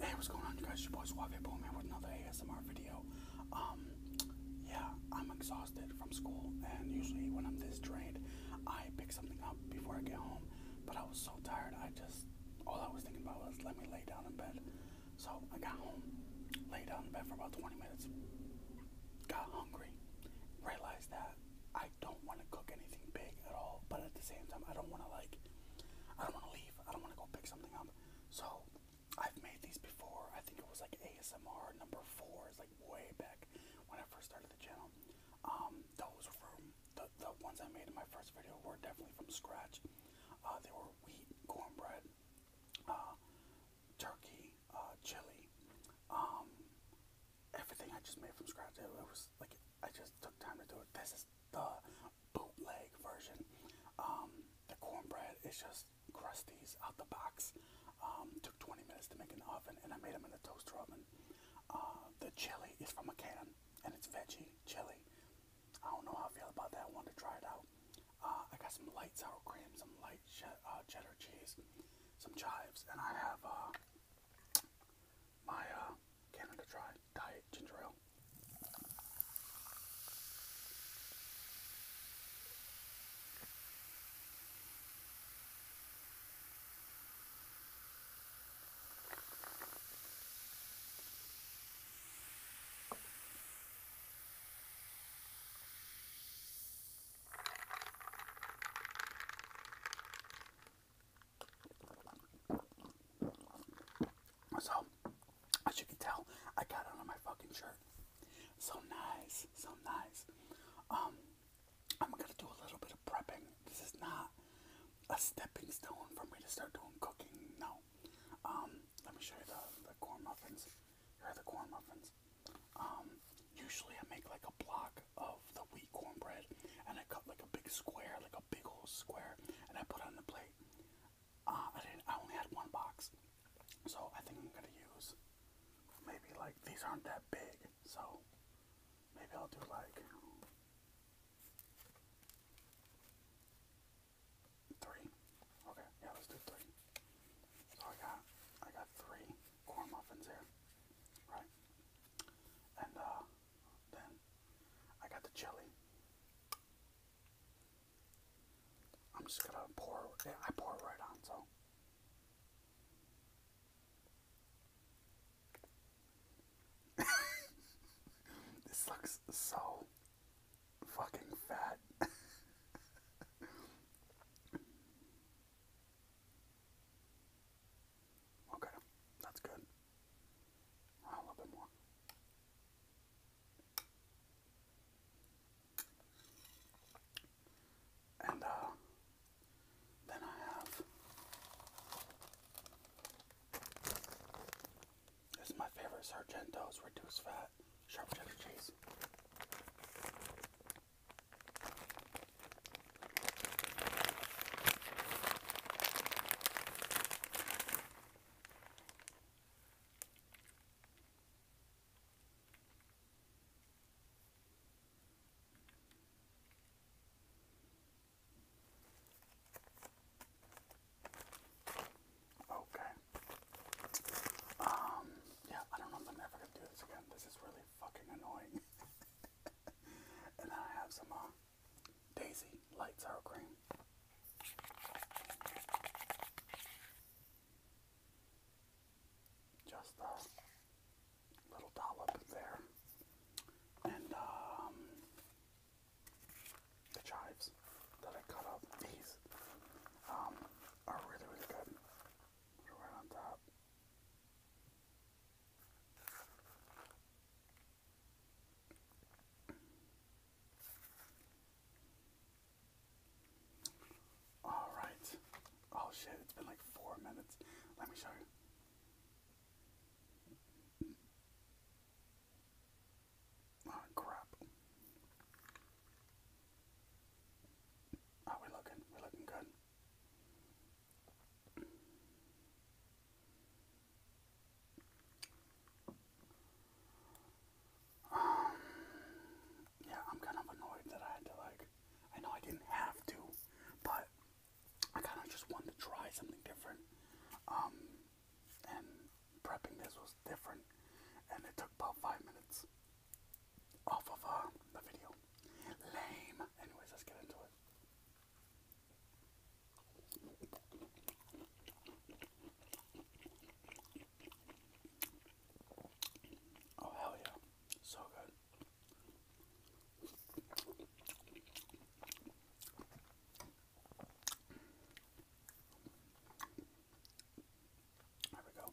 Hey, what's going on, you guys? Your boy Suave Boom here with another ASMR video. Um, yeah, I'm exhausted from school, and usually when I'm this drained, I pick something up before I get home. But I was so tired, I just all I was thinking about was let me lay down in bed. So I got home, laid down in bed for about 20 minutes, got hungry, realized that I don't want to cook anything big at all, but at the same time, I don't want to like, I don't want to leave I don't want to go pick something up. So I've made these before. I think it was like ASMR number four, is like way back when I first started the channel. Um, those were from the, the ones I made in my first video were definitely from scratch. Uh, they were wheat, cornbread, uh, turkey, uh, chili, um, everything I just made from scratch. it was like I just took time to do it. This is the bootleg version. Um, the cornbread is just crusties out the box. Um, took 20 minutes to make in the oven, and I made them in the toaster oven. Uh, the chili is from a can, and it's veggie chili. I don't know how I feel about that. I wanted to try it out. Uh, I got some light sour cream, some light uh, cheddar cheese, some chives, and I have uh, my uh, Canada Dry Diet Ginger Ale. So, as you can tell, I got it on my fucking shirt. So nice, so nice. Um, I'm gonna do a little bit of prepping. This is not a stepping stone for me to start doing cooking. No. Um, let me show you the, the corn muffins. Here are the corn muffins. Um, usually I make like a block of the wheat cornbread and I cut like a big square, like big old square, and I put on the plate. Uh, I didn't. I only had one box, so I think I'm gonna use maybe like these aren't that big, so maybe I'll do like three. Okay, yeah, let's do three. So I got I got three corn muffins here, right? And uh, then I got the chili. I'm just gonna pour. I pour it right on, so. this looks so fucking fat. Okay, that's good. A little bit more. And uh, then I have this my favorite Sargento's reduced fat sharp cheddar cheese. Okay. Um, yeah, I don't know if I'm ever gonna do this again. This is really fucking annoying. and I have some uh, Daisy Light Sour Cream. Just a little dollop there. And um, the chives that I cut up, these um, are really, really good. Right on top. All right. Oh shit, it's been like four minutes. Let me show you. Oh crap. Oh, ah, we looking, we looking good. Um, yeah, I'm kind of annoyed that I had to, like, I know I didn't have to, but I kind of just wanted to try something different. Um, and prepping this was different, and it took about five minutes off of uh, the video. Lame. Anyways, let's get into it. Oh, hell yeah. So good. There we go.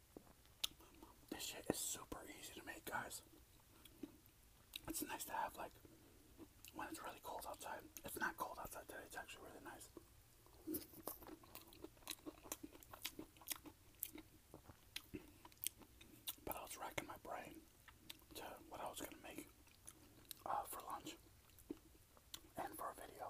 This shit is super easy to make, guys. It's nice to have, like, when it's really cold outside. It's not cold outside today, it's actually really nice. But I was racking my brain to what I was gonna make uh, for lunch and for a video.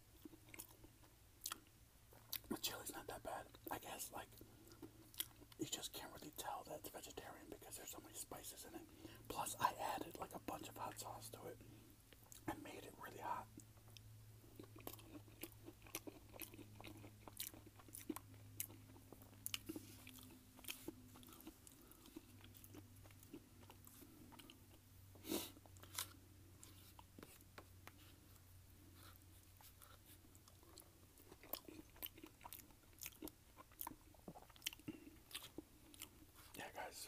The chili's not that bad. I guess, like, you just can't really tell that it's vegetarian because there's so many spices in it. Plus, I added, like, a bunch of hot sauce to it and made it really hot. Yeah, guys,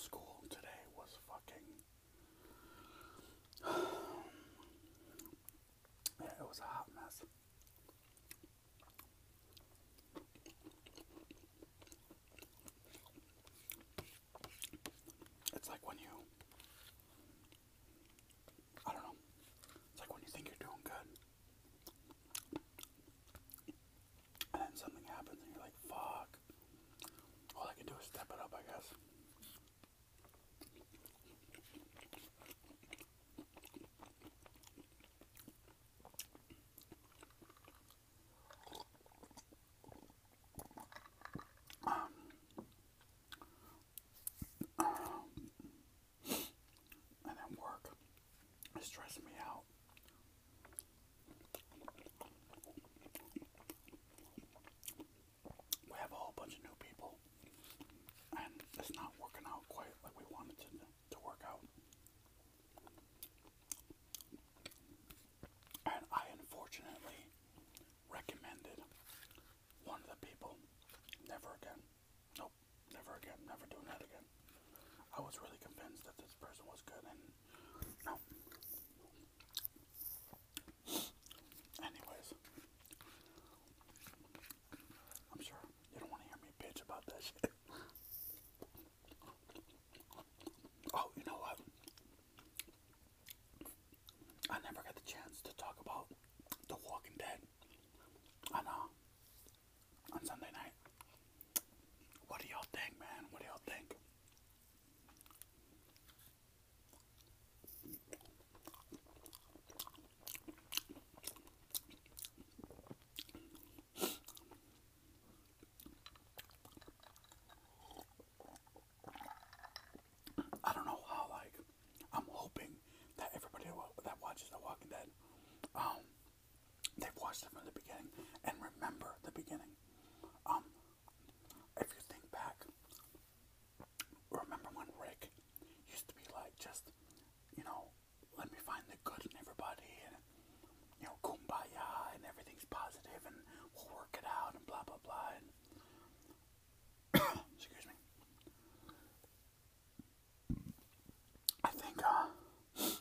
school today was fucking. yeah, it was a hot mess. It's like when you, I don't know, it's like when you think you're doing good. And then something happens and you're like, fuck. All I can do is step it up, I guess. Um, and then work is stressing me out. We have a whole bunch of new people, and it's not working out quite like we wanted to to work out. And I unfortunately recommended one of the people never again. Nope, never again. Never doing that again. I was really convinced that this person was good and no. Anyways, I'm sure you don't want to hear me bitch about that shit. Oh, you know what? I never got the chance to talk about The Walking Dead on uh, on Sunday night. What do y'all think, man? What do y'all think? I don't know how. Like, I'm hoping that everybody that watches The Walking Dead, um, they've watched it from the beginning and remember the beginning. Um, if you think back, remember when Rick used to be like, just you know, let me find the good in everybody, and you know, kumbaya and everything's positive and we'll work it out and blah blah blah. Excuse me. I think, uh, oh,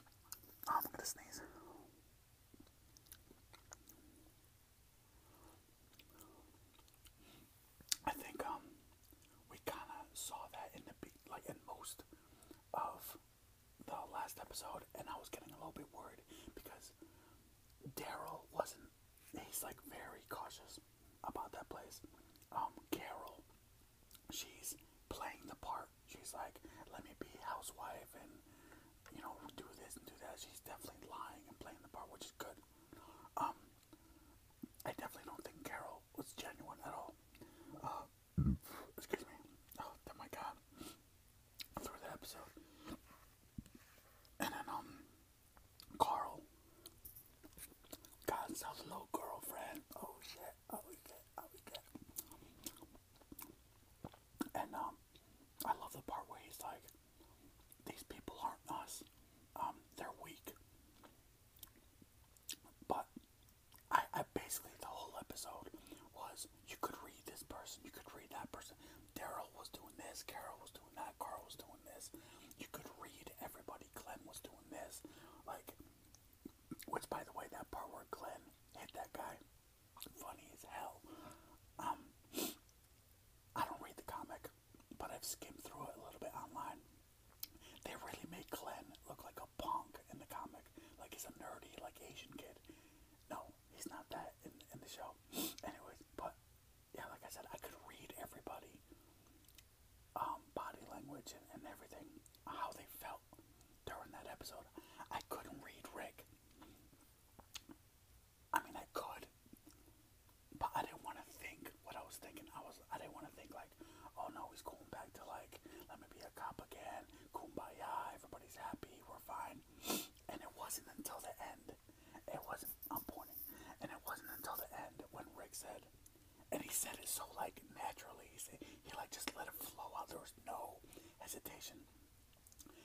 I'm gonna sneeze. I think, um, we kind of saw that in the, like, in most of the last episode, and I was getting a little bit worried because Daryl wasn't. He's like very cautious about that place. Um, Carol, she's playing the part. She's like, let me be housewife and you know do this and do that. She's definitely lying and playing the part, which is good. Um, I definitely don't think Carol was genuine at all. Uh, Excuse me. Oh, oh, my god. Through the episode. And then, um, Carl got himself a little girlfriend. Oh shit, oh shit, oh shit. And, um, I love the part where he's like, these people aren't us. Um, they're weak. But I, I basically the whole episode was you could read this person, you could read that person. Daryl was doing this, Carol was doing that, Carl was doing this. You could read everybody. Glenn was doing this, like, which by the way, that part where Glenn hit that guy, funny as hell. Um, I don't read the comic, but I've skimmed through it a little bit online. They really make Glenn look like a punk in the comic like he's a nerdy like Asian kid. No, he's not that in in the show. Anyways, but yeah, like I said, I could read everybody um, body language and, and everything how they felt during that episode. I couldn't read Rick. I mean, I could, but I didn't want to think what I was thinking. I was, I didn't want to think like, oh no, he's going back to like, let me be a cop again, and kumbaya, everybody's happy, we're fine. And it wasn't until the end, it wasn't, I'm pointing, and it wasn't until the end when Rick said, and he said it so like naturally, he, said, he like just let it flow out, there was no hesitation.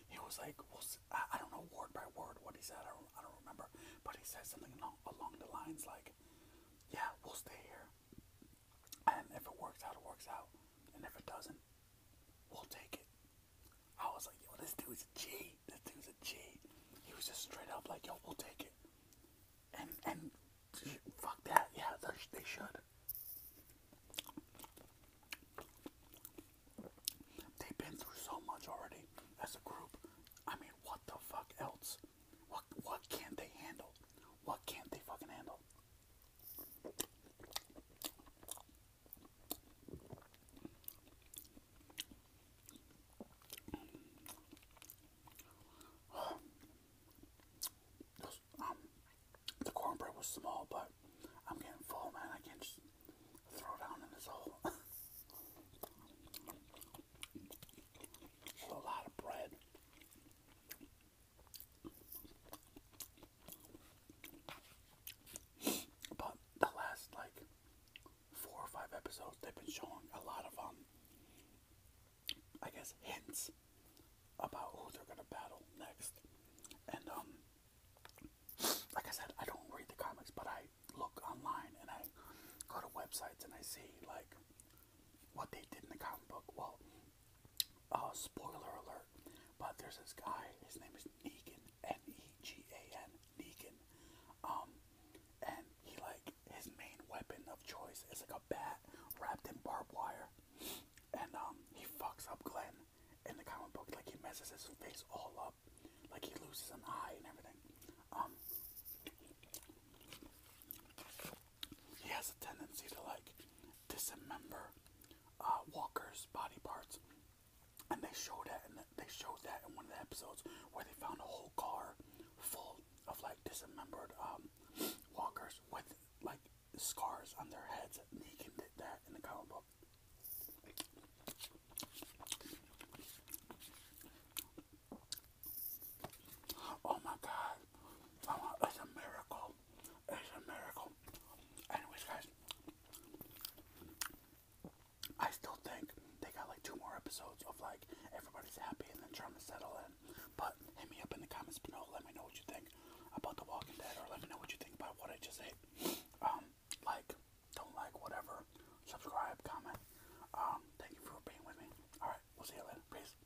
He was like, well, I, I don't know word by word what he said, I don't, I don't remember, but he said something along, along the lines like, yeah, we'll stay here. And if it works out, it works out. And if it doesn't, we'll take it. I was like, yo, this dude's a G. This dude's a G. He was just straight up like, yo, we'll take it. And and fuck that. Yeah, they should. They've been through so much already as a group. I mean, what the fuck else? What what can't they handle? What can't they fucking handle? Oh. Was, the cornbread was small, but I'm getting full, man. I can't just throw down in this hole. a lot of bread. But the last like four or five episodes, they've been showing a lot of um, I guess hints about who they're gonna battle next. And um, like I said, I don't read the comics, but I look online and I go to websites and I see like what they did in the comic book. Well, uh, spoiler alert, but there's this guy, his name is Negan, N E G A N, Negan. Um, and he, like, his main weapon of choice is like a bat wrapped in barbed wire. And, um, he fucks up Glenn in the comic book. Like, he messes his face all up. Like, he loses an eye and everything. Um, he has a tendency to like dismember uh, Walker's body parts, and they showed that, they showed that in one of the episodes where they found a whole car full of like dismembered um, Walkers with like scars on their heads. Negan did that in the comic book. Oh my God! Oh, a miracle. It's a miracle. Anyways, guys, I still think they got like two more episodes of like everybody's happy and then trying to settle in. But hit me up in the comments below. Let me know what you think about The Walking Dead, or let me know what you think about what I just ate. Um, like, don't like, whatever. Subscribe, comment. Um, thank you for being with me. All right, we'll see you later. Peace.